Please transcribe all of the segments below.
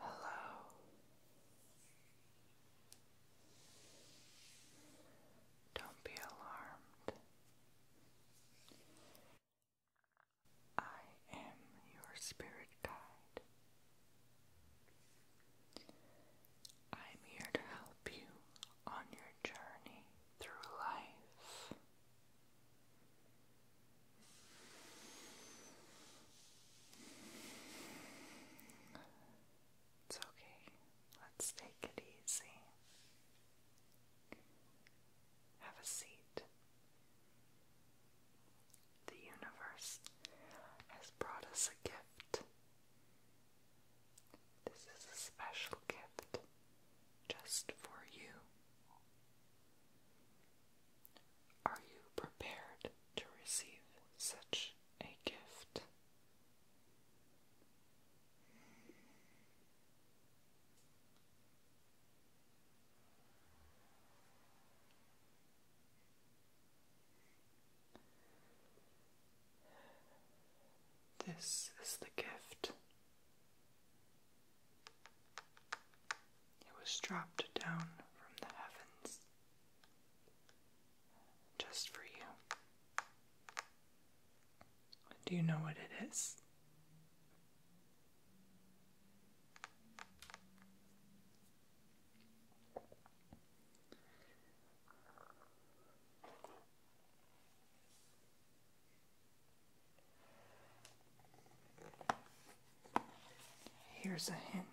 Hello. Don't be alarmed. I am your spirit guide. I'm here to help you on your journey through life. It's okay. Let's take it easy. Have a seat the universe has brought us a gift. This is a special gift just for you. Are you prepared to receive such a gift? This is the gift. It was dropped down from the heavens just for you. Do you know what it is? Here's a hint.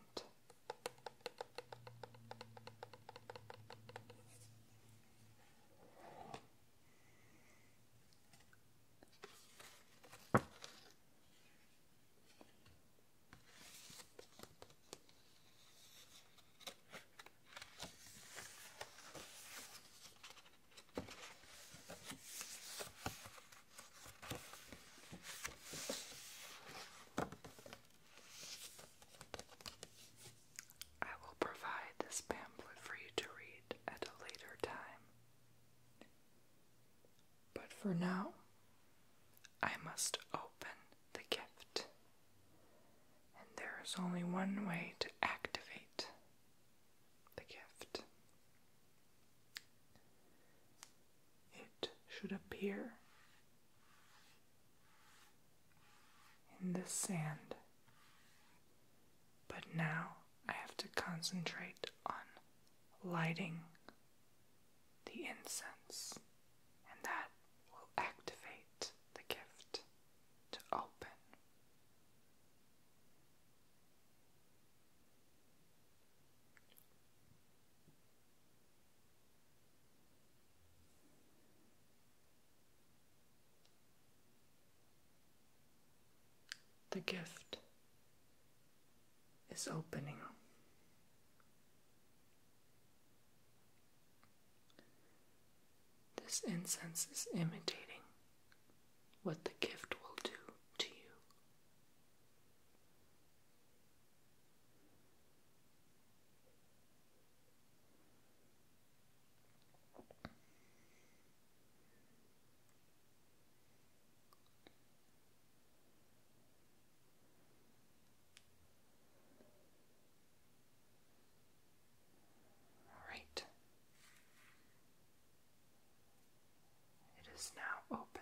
I will provide this pamphlet for you to read at a later time. But for now, I must open the gift. And there is only one way to activate the gift. It should appear in the sand. But now I have to concentrate on lighting the incense, and that will activate the gift to open. The gift is opening. This incense is imitating what the gift will do to you. All right. It is now open.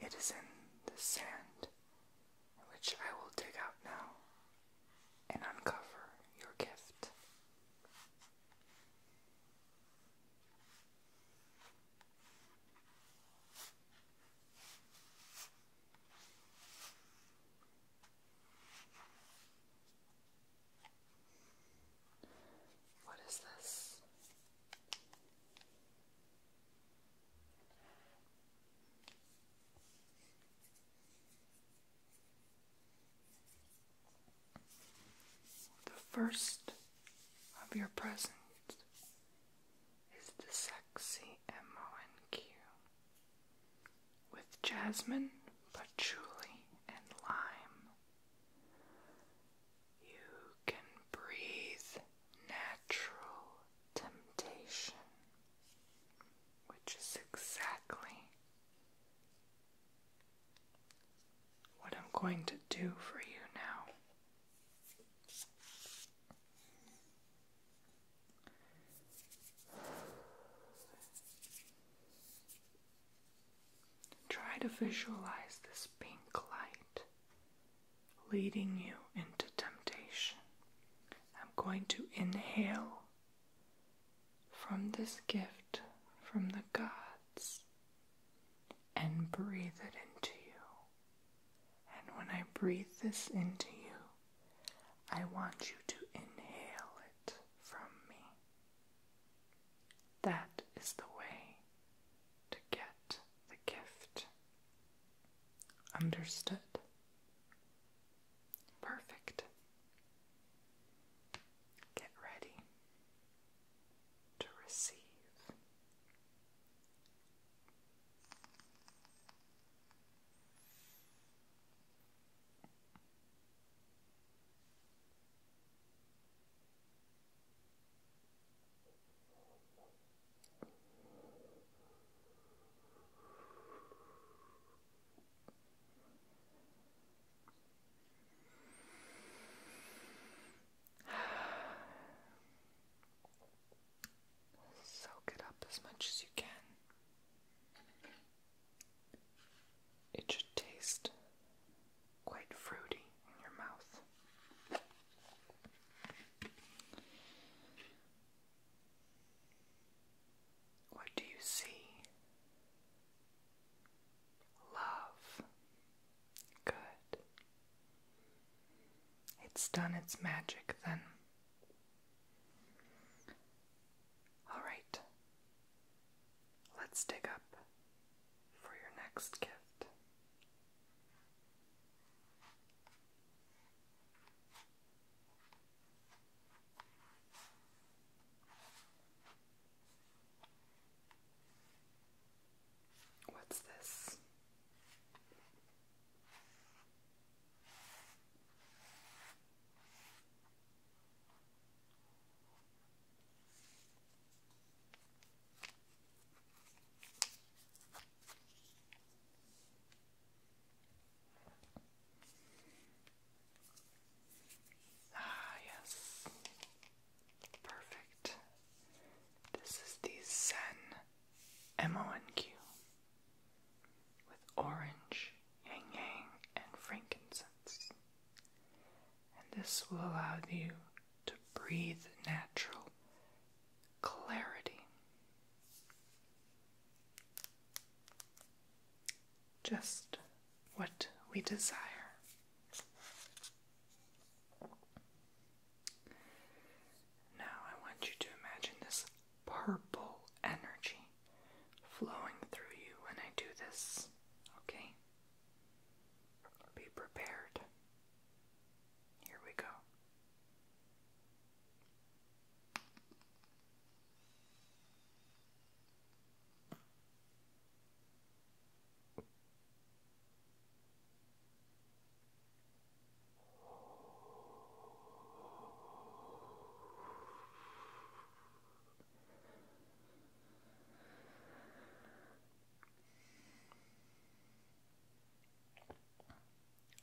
It is in the sand, which I will dig out now and uncover your gift. What is this? The first of your presents is the sexy MONQ with jasmine, patchouli, and lime. You can breathe natural temptation, which is exactly what I'm going to do for you now. Try to visualize this pink light leading you into temptation. I'm going to inhale from this gift from the gods and breathe it into you. And when I breathe this into you, I want you to inhale it from me. That is the way to get the gift. Understood. Perfect. Get ready to receive. Soak it up as much as you can. It should taste quite fruity in your mouth. What do you see? Love. Good. It's done its magic then. All right. Let's dig up for your next gift. What's this? Ah, yes. Perfect. This is the Zen MONQ with orange, yang and frankincense and this will allow you to breathe natural clarity. Just what we desire. Now I want you to imagine this purple energy flowing through you when I do this, okay? Be prepared. Here we go.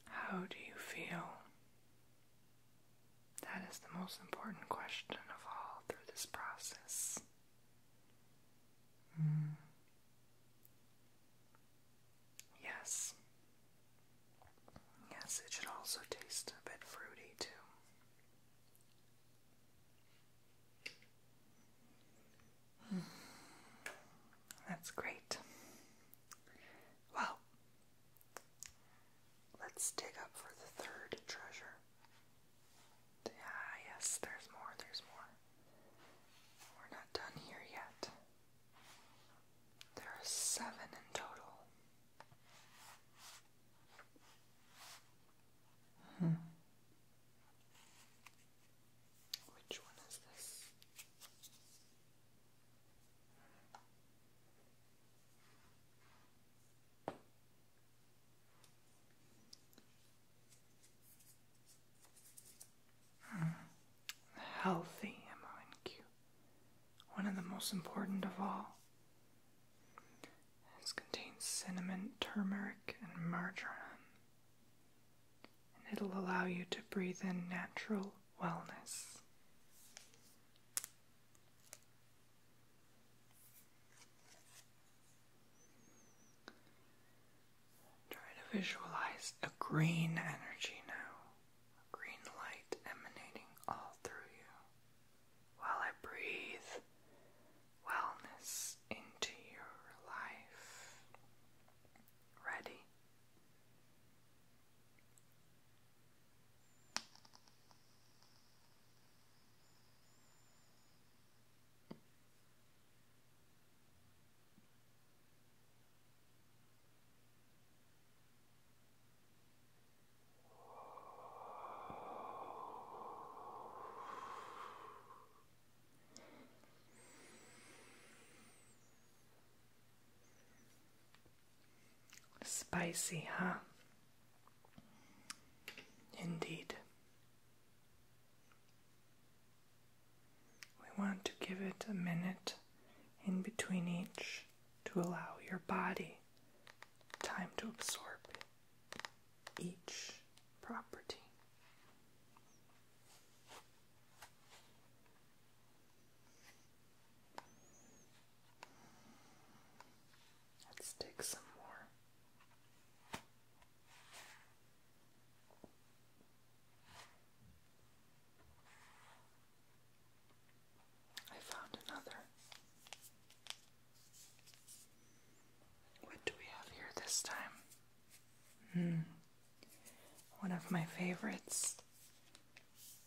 How do you feel? That is the most important question of all through this process. Mm. Yes. Yes, it should also taste a bit fruity too. That's great. Well, let's dig up for the third treasure. Ah, yes, there's more, there's more. We're not done here yet. There are seven in total. Which one is this? Healthy MONQ. One of the most important of all. It contains cinnamon, turmeric, and marjoram, and it'll allow you to breathe in natural wellness. Try to visualize a green energy now, a green light emanating all through you while I breathe wellness into your life. Ready? Spicy, huh? Indeed. We want to give it a minute in between each to allow your body time to absorb each property. Let's take some more. I found another. What do we have here this time? Hmm. One of my favorites.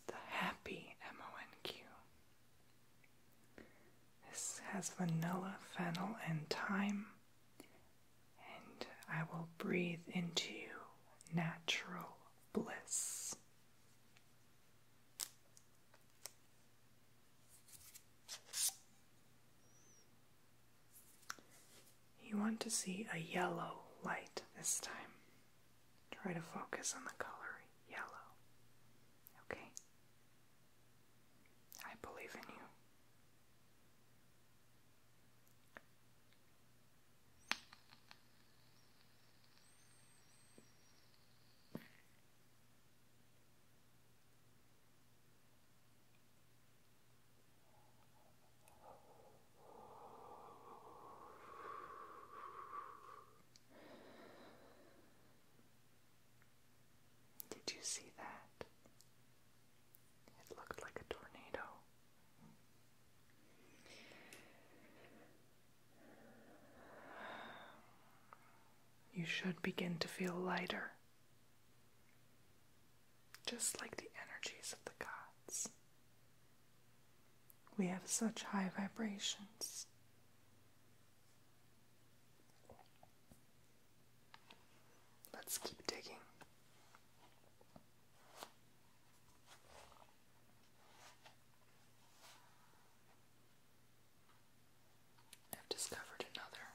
The Happy MONQ. This has vanilla, fennel, and thyme. And I will breathe into you natural bliss. You want to see a yellow light this time. Try to focus on the color yellow. Okay? I believe in you. Did you see that? It looked like a tornado. You should begin to feel lighter, just like the energies of the gods. We have such high vibrations. Let's keep digging. I've discovered another.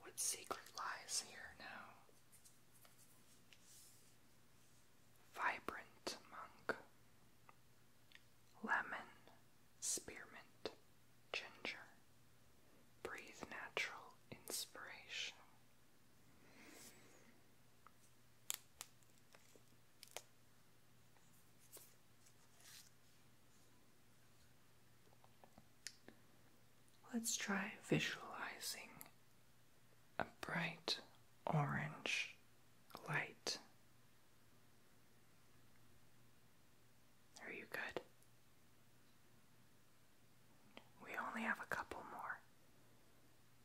What secret lies here now? Vibrant monk, lemon, spearmint, ginger. Breathe natural inspiration. Let's try visualizing a bright orange light. Are you good? We only have a couple more.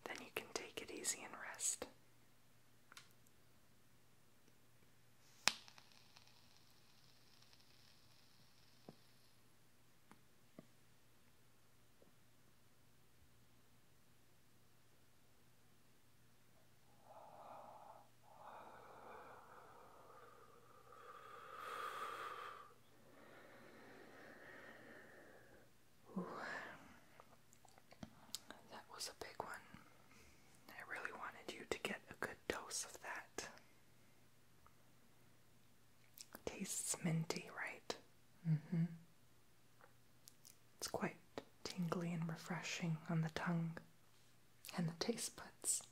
Then you can take it easy and rest. That was a big one. I really wanted you to get a good dose of that. Tastes minty, right? Mm-hmm. It's quite tingly and refreshing on the tongue and the taste buds.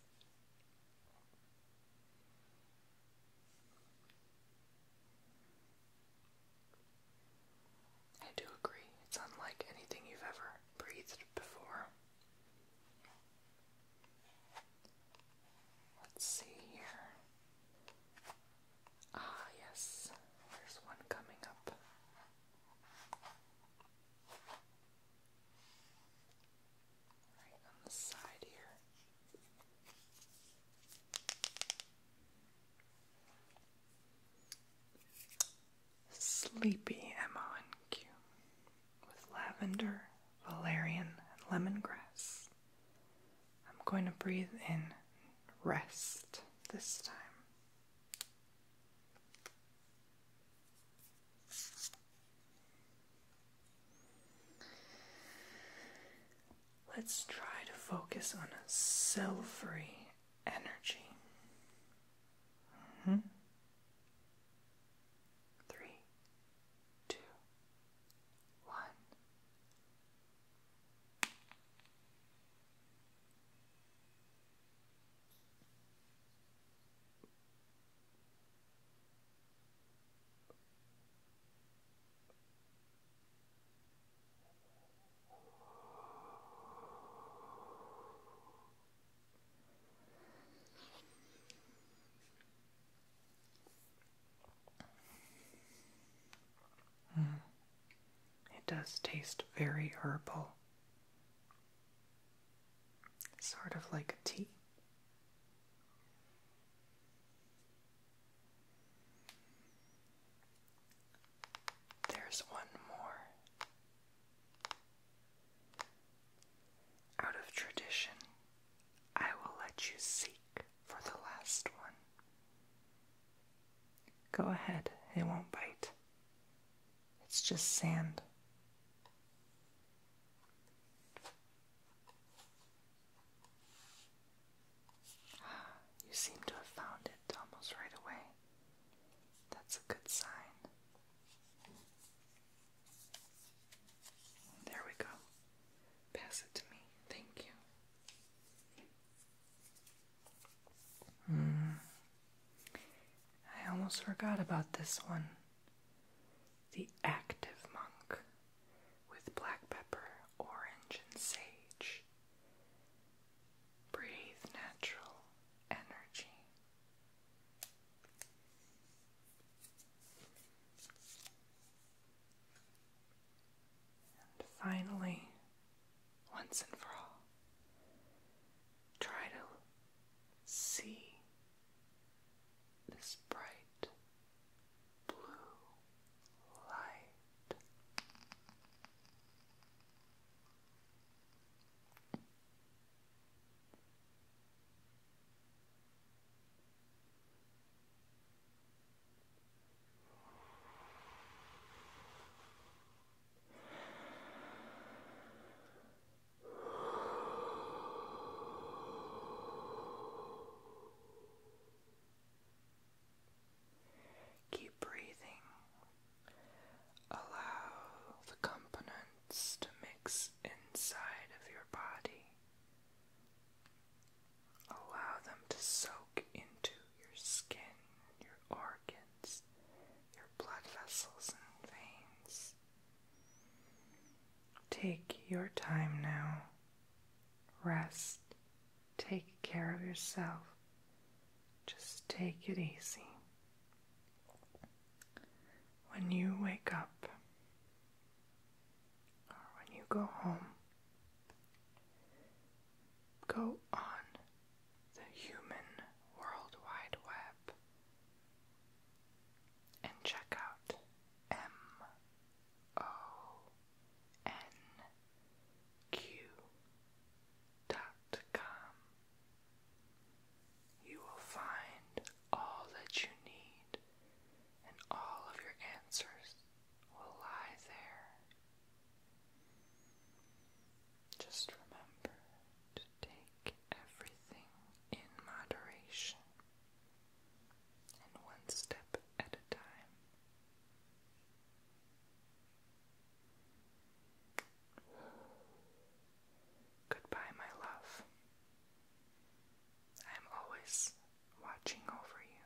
I do agree, it's unlike anything you've ever breathed before. Let's see here. Ah, yes, there's one coming up right on the side here. Sleepy MONQ with lavender, valerian, and lemongrass. I'm going to breathe in rest this time. Let's try to focus on a self-free energy. Mm-hmm. Three, two, one. Mm. It does taste very herbal. Sort of like a tea. There's one more. Out of tradition, I will let you seek for the last one. Go ahead, it won't bite. It's just sand. You seem to have found it almost right away. That's a good sign. There we go. Pass it to me. Thank you. Mm. I almost forgot about this one. The active monk with black pepper, orange, and sage. Breathe natural energy. And finally, once and for all, try to see this bright blue light. Keep breathing. Allow the components to mix inside of your body. Allow them to soak into your skin, your organs, your blood vessels and veins. Take your time now. Rest. Take care of yourself. Just take it easy. When you wake up or when you go home, go on the human World Wide Web and check out M O N Q dot com. You will find all that you need, and all of your answers will lie there. Just remember to take everything in moderation and one step at a time. Goodbye, my love. I am always watching over you.